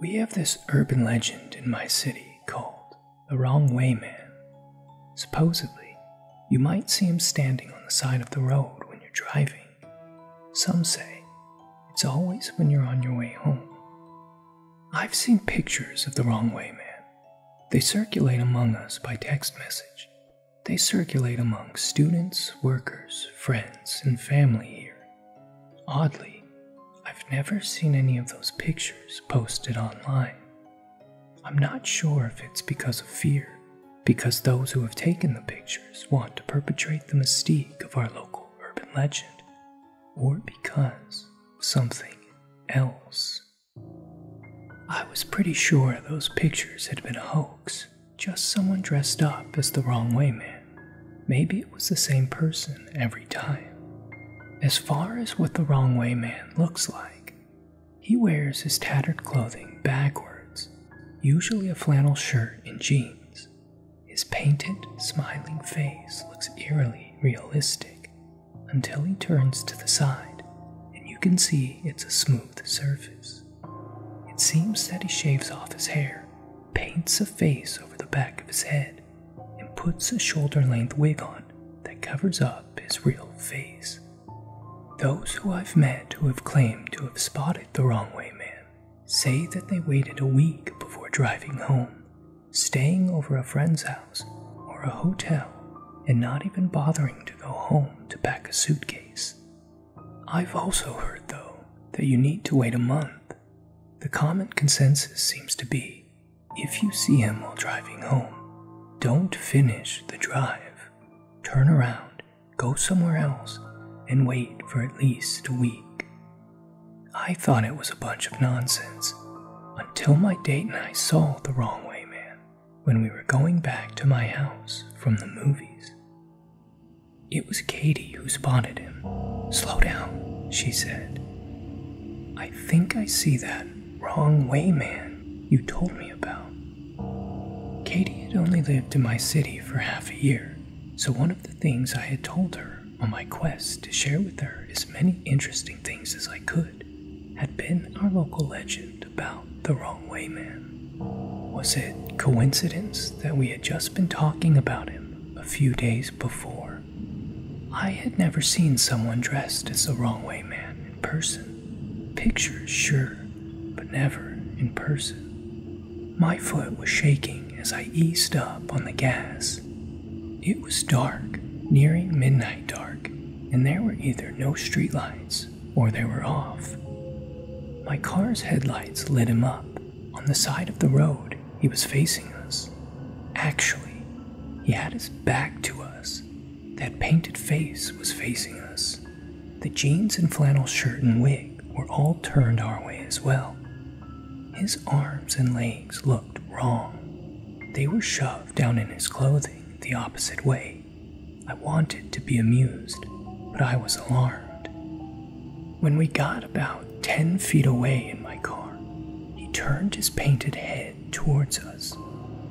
We have this urban legend in my city called the Wrong Way Man. Supposedly, you might see him standing on the side of the road when you're driving. Some say it's always when you're on your way home. I've seen pictures of the wrong way man. They circulate among us by text message. They circulate among students, workers, friends, and family here. Oddly, I've never seen any of those pictures posted online. I'm not sure if it's because of fear because those who have taken the pictures want to perpetrate the mystique of our local urban legend, or because of something else. I was pretty sure those pictures had been a hoax, just someone dressed up as the wrong way man. Maybe it was the same person every time. As far as what the wrong way man looks like, he wears his tattered clothing backwards usually a flannel shirt and jeans. His painted, smiling face looks eerily realistic until he turns to the side, and you can see it's a smooth surface. It seems that he shaves off his hair, paints a face over the back of his head, and puts a shoulder length wig on that covers up his real face. Those who I've met who have claimed to have spotted the wrong way man say that they waited a week before driving home, staying over a friend's house or a hotel, and not even bothering to go home to pack a suitcase. I've also heard, though, that you need to wait a month. The common consensus seems to be if you see him while driving home, don't finish the drive, turn around go somewhere else and wait for at least a week. I thought it was a bunch of nonsense until my date and I saw The Wrong Way Man when we were going back to my house from the movies. It was Katie who spotted him. Slow down, she said. I think I see that wrong way man you told me about. Katie had only lived in my city for half a year, so one of the things I had told her on my quest to share with her as many interesting things as I could had been our local legend about the Wrong Way Man. Was it coincidence that we had just been talking about him a few days before? I had never seen someone dressed as the Wrong Way Man in person. Pictures, sure, but never in person. My foot was shaking as I eased up on the gas. It was dark, nearing midnight dark, and there were either no streetlights or they were off. My car's headlights lit him up. On the side of the road, he was facing us. Actually, he had his back to us. That painted face was facing us. The jeans and flannel shirt and wig were all turned our way as well. His arms and legs looked wrong. They were shoved down in his clothing the opposite way. I wanted to be amused, but I was alarmed. When we got about 10 feet away in my car, he turned his painted head towards us.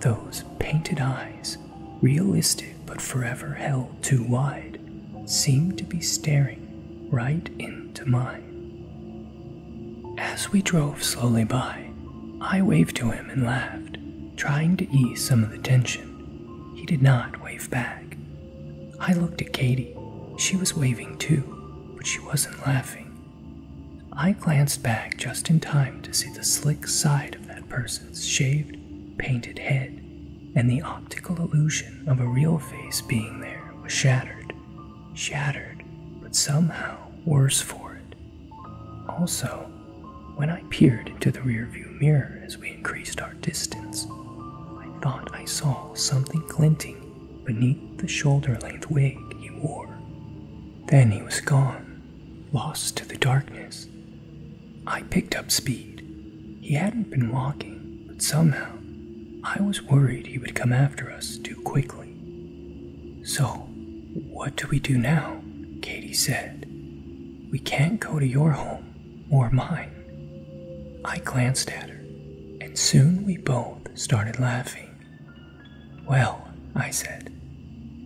Those painted eyes realistic but forever held too wide, seemed to be staring right into mine. As we drove slowly by, I waved to him and laughed, trying to ease some of the tension. He did not wave back. I looked at Katie. She was waving too, but she wasn't laughing. I glanced back just in time to see the slick side of that person's shaved, painted head, and the optical illusion of a real face being there was shattered. Shattered, but somehow worse for it. Also, when I peered into the rearview mirror as we increased our distance, I thought I saw something glinting beneath the shoulder length wig he wore. Then he was gone, lost to the darkness. I picked up speed. He hadn't been walking, but somehow I was worried he would come after us too quickly. So, what do we do now? Katie said. We can't go to your home or mine. I glanced at her, and soon we both started laughing. Well, I said,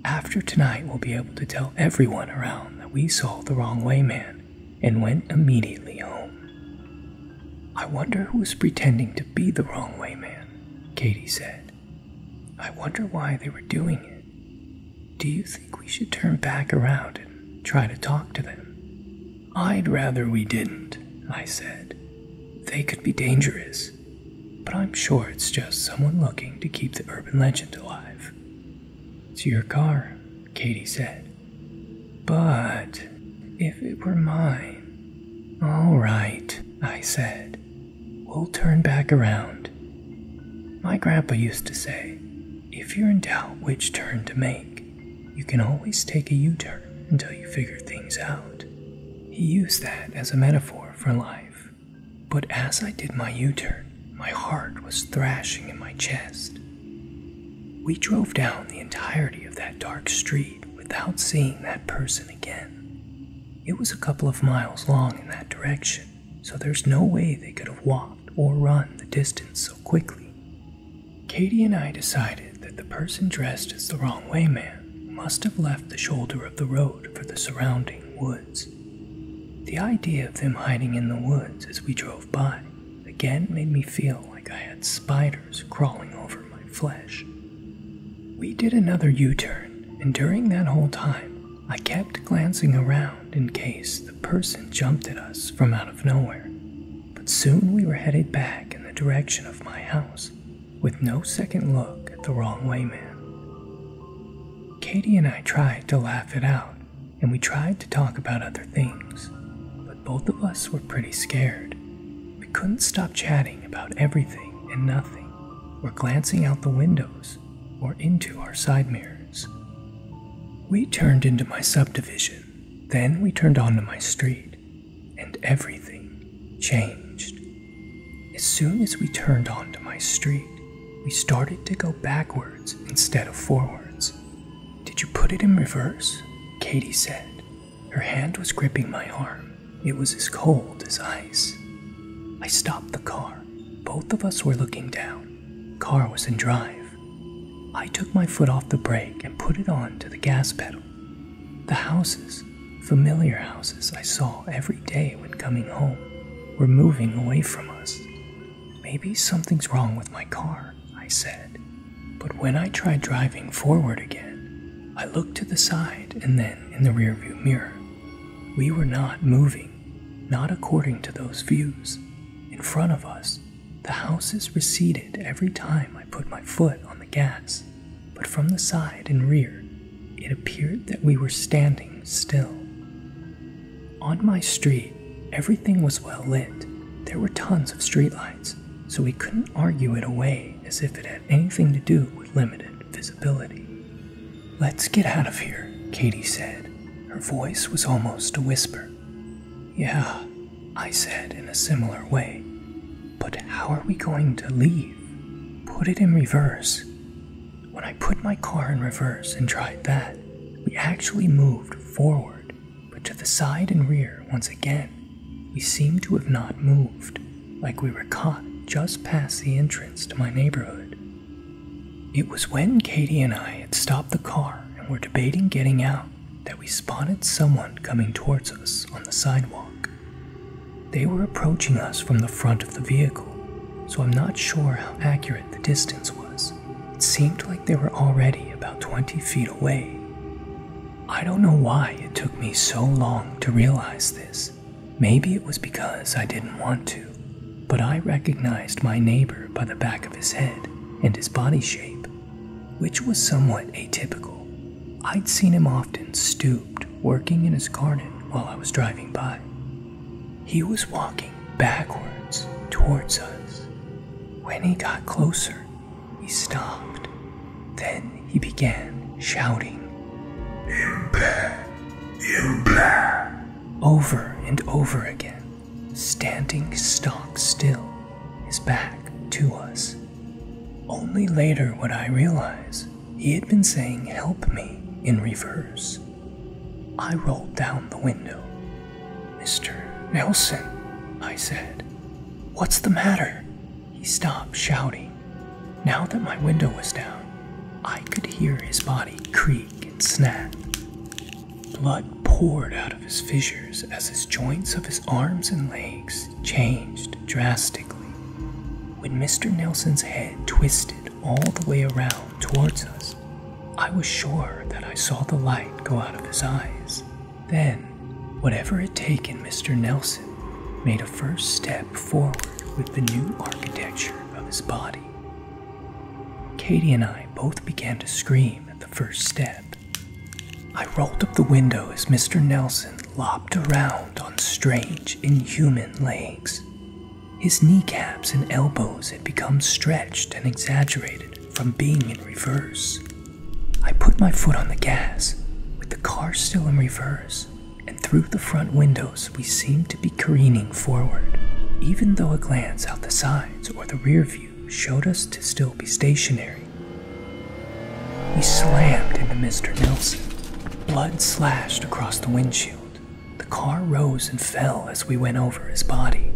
after tonight, we'll be able to tell everyone around that we saw the wrong way man and went immediately home. I wonder who is pretending to be the wrong way man, Katy said. I wonder why they were doing it. Do you think we should turn back around and try to talk to them? I'd rather we didn't, I said. They could be dangerous, but I'm sure it's just someone looking to keep the urban legend alive. To your car, Katy said. But if it were mine. All right, I said. We'll turn back around. My grandpa used to say, if you're in doubt which turn to make, you can always take a U turn until you figure things out. He used that as a metaphor for life. But as I did my U turn, my heart was thrashing in my chest. We drove down the entirety of that dark street without seeing that person again. It was a couple of miles long in that direction, so there's no way they could have walked or run the distance so quickly. Katie and I decided that the person dressed as the wrong way man must have left the shoulder of the road for the surrounding woods. The idea of them hiding in the woods as we drove by again made me feel like I had spiders crawling over my flesh. We did another U turn, and during that whole time, I kept glancing around in case the person jumped at us from out of nowhere. But soon we were headed back in the direction of my house, with no second look at the wrong way man. Katie and I tried to laugh it out, and we tried to talk about other things, but both of us were pretty scared. We couldn't stop chatting about everything and nothing, or glancing out the windows or into our side mirrors. We turned into my subdivision, then we turned onto my street, and everything changed. As soon as we turned onto my street, we started to go backwards instead of forwards. Did you put it in reverse? Katie said. Her hand was gripping my arm. It was as cold as ice. I stopped the car. Both of us were looking down. Car was in drive. I took my foot off the brake and put it on to the gas pedal. The houses, Familiar houses I saw every day when coming home were moving away from us. Maybe something's wrong with my car, I said. But when I tried driving forward again, I looked to the side and then in the rearview mirror. We were not moving, not according to those views. In front of us, the houses receded every time I put my foot on the gas, but from the side and rear, it appeared that we were standing still. On my street, everything was well lit. There were tons of streetlights, so we couldn't argue it away as if it had anything to do with limited visibility. Let's get out of here, Katie said. Her voice was almost a whisper. Yeah, I said in a similar way. But how are we going to leave? Put it in reverse. When I put my car in reverse and tried that, we actually moved forward, but to the side and rear once again. We seemed to have not moved, like we were caught just past the entrance to my neighborhood. It was when Katie and I had stopped the car and were debating getting out that we spotted someone coming towards us on the sidewalk. They were approaching us from the front of the vehicle, so I'm not sure how accurate the distance was. It seemed like they were already about 20 feet away. I don't know why it took me so long to realize this. Maybe it was because I didn't want to, but I recognized my neighbor by the back of his head and his body shape, which was somewhat atypical. I'd seen him often stooped working in his garden while I was driving by. He was walking backwards towards us. When he got closer, he stopped. Then he began shouting, Impa! Impa! Over and over again, standing stock still, his back to us. Only later would I realize he had been saying, Help me, in reverse. I rolled down the window. Mr. Nelson, I said, What's the matter? He stopped shouting. Now that my window was down, I could hear his body creak and snap. Blood poured out of his fissures as his joints of his arms and legs changed drastically. When Mr. Nelson's head twisted all the way around towards us, I was sure that I saw the light go out of his eyes. Then, whatever had taken Mr. Nelson made a first step forward with the new architecture of his body. Katie and I both began to scream at the first step. I rolled up the window as Mr. Nelson lopped around on strange, inhuman legs. His kneecaps and elbows had become stretched and exaggerated from being in reverse. I put my foot on the gas, with the car still in reverse, and through the front windows we seemed to be careening forward, even though a glance out the sides or the rear view showed us to still be stationary. We slammed into Mr. Nelson. Blood slashed across the windshield. The car rose and fell as we went over his body.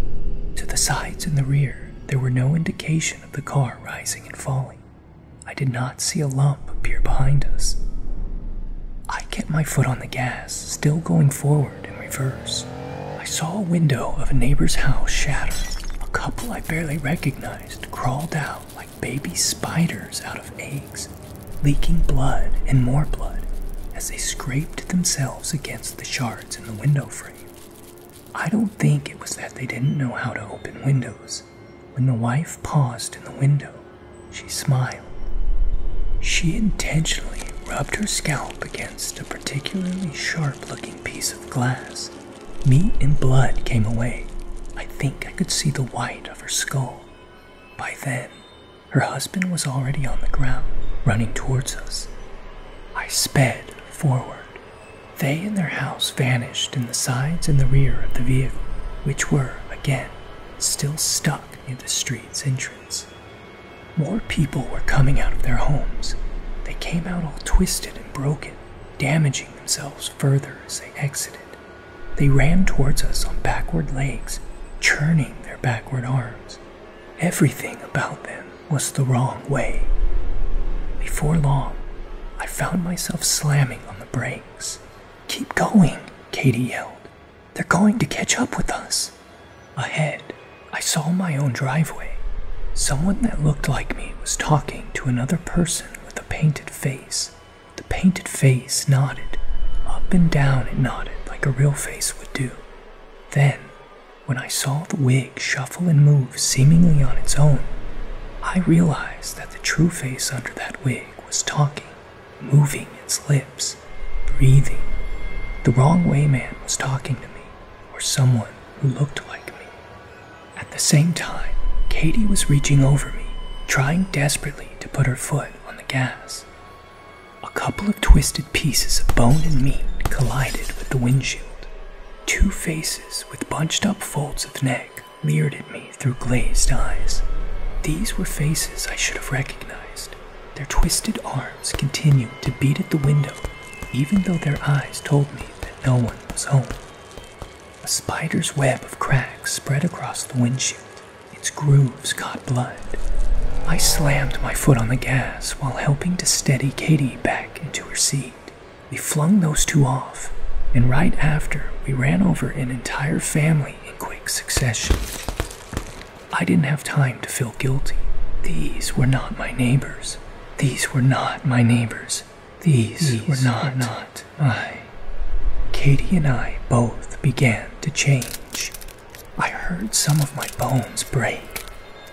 To the sides and the rear, there were no indication of the car rising and falling. I did not see a lump appear behind us. I kept my foot on the gas, still going forward in reverse. I saw a window of a neighbor's house shatter. A couple I barely recognized crawled out like baby spiders out of eggs, leaking blood and more blood as they scraped themselves against the shards in the window frame. I don't think it was that they didn't know how to open windows. When the wife paused in the window, she smiled. She intentionally rubbed her scalp against a particularly sharp looking piece of glass. Meat and blood came away. I think I could see the white of her skull. By then, her husband was already on the ground, running towards us. I sped forward. They and their house vanished in the sides and the rear of the vehicle, which were, again, still stuck near the street's entrance. More people were coming out of their homes. They came out all twisted and broken, damaging themselves further as they exited. They ran towards us on backward legs, churning their backward arms. Everything about them was the wrong way. Before long, I found myself slamming on the brakes. Keep going, Katie yelled. They're going to catch up with us. Ahead, I saw my own driveway. Someone that looked like me was talking to another person with a painted face. The painted face nodded. Up and down it nodded, like a real face would do. Then, when I saw the wig shuffle and move seemingly on its own, I realized that the true face under that wig was talking, moving its lips, breathing. The wrong way man was talking to me, or someone who looked like me. At the same time, Katie was reaching over me, trying desperately to put her foot on the gas. A couple of twisted pieces of bone and meat collided with the windshield. Two faces with bunched up folds of neck leered at me through glazed eyes. These were faces I should have recognized. Their twisted arms continued to beat at the window, even though their eyes told me that no one was home. A spider's web of cracks spread across the windshield, its grooves caught blood. I slammed my foot on the gas while helping to steady Katie back into her seat. We flung those two off, and right after, we ran over an entire family in quick succession. I didn't have time to feel guilty. These were not my neighbors. These were not my neighbors. These, were, not, not I. Katie and I both began to change. I heard some of my bones break.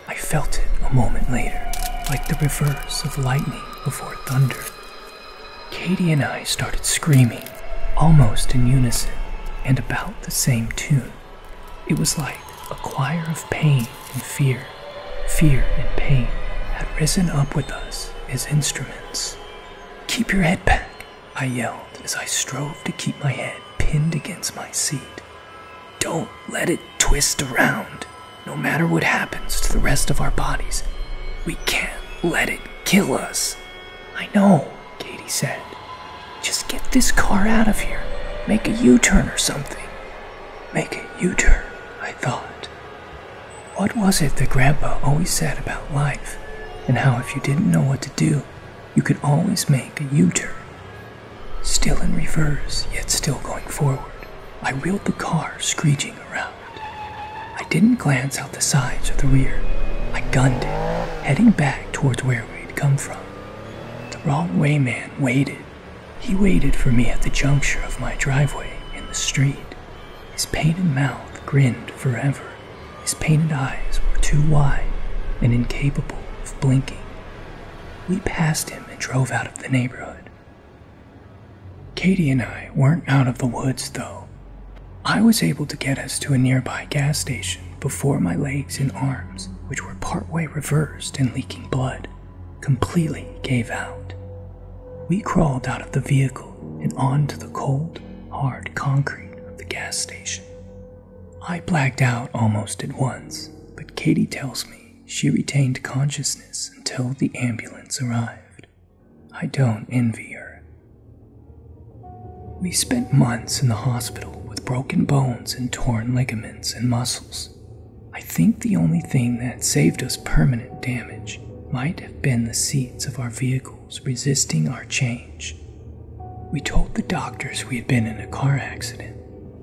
I felt it a moment later, like the reverse of lightning before thunder. Katie and I started screaming, almost in unison, and about the same tune. It was like a choir of pain and fear. Fear, and pain had risen up with us as instruments. Keep your head back, I yelled as I strove to keep my head pinned against my seat. Don't let it twist around. No matter what happens to the rest of our bodies, we can't let it kill us. I know, Katie said. Just get this car out of here. Make a U turn or something. Make a U turn, I thought. What was it that Grandpa always said about life, and how if you didn't know what to do, you could always make a U turn? Still in reverse, yet still going forward, I wheeled the car screeching around. I didn't glance out the sides or the rear, I gunned it, heading back towards where we'd come from. The wrong way man waited he waited for me at the juncture of my driveway and the street. His painted mouth grinned forever. His painted eyes were too wide and incapable of blinking. We passed him and drove out of the neighborhood. Katie and I weren't out of the woods, though. I was able to get us to a nearby gas station before my legs and arms, which were partway reversed and leaking blood, completely gave out. We crawled out of the vehicle and onto the cold, hard concrete of the gas station. I blacked out almost at once, but Katie tells me she retained consciousness until the ambulance arrived. I don't envy her. We spent months in the hospital with broken bones and torn ligaments and muscles, I think the only thing that saved us permanent damage might have been the seats of our vehicles resisting our change. We told the doctors we had been in a car accident.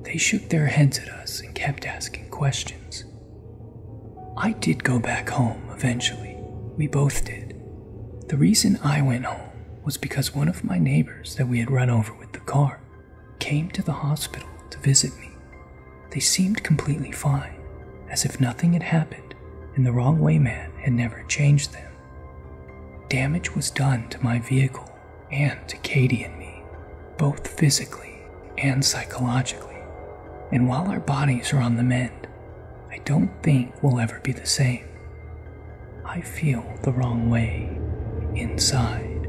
They shook their heads at us and kept asking questions. I did go back home eventually. We both did. The reason I went home was because one of my neighbors that we had run over with the car came to the hospital to visit me. They seemed completely fine, as if nothing had happened and the wrong way man had never changed them. Damage was done to my vehicle and to Katie and me, both physically and psychologically. And while our bodies are on the mend, I don't think we'll ever be the same. I feel the wrong way inside.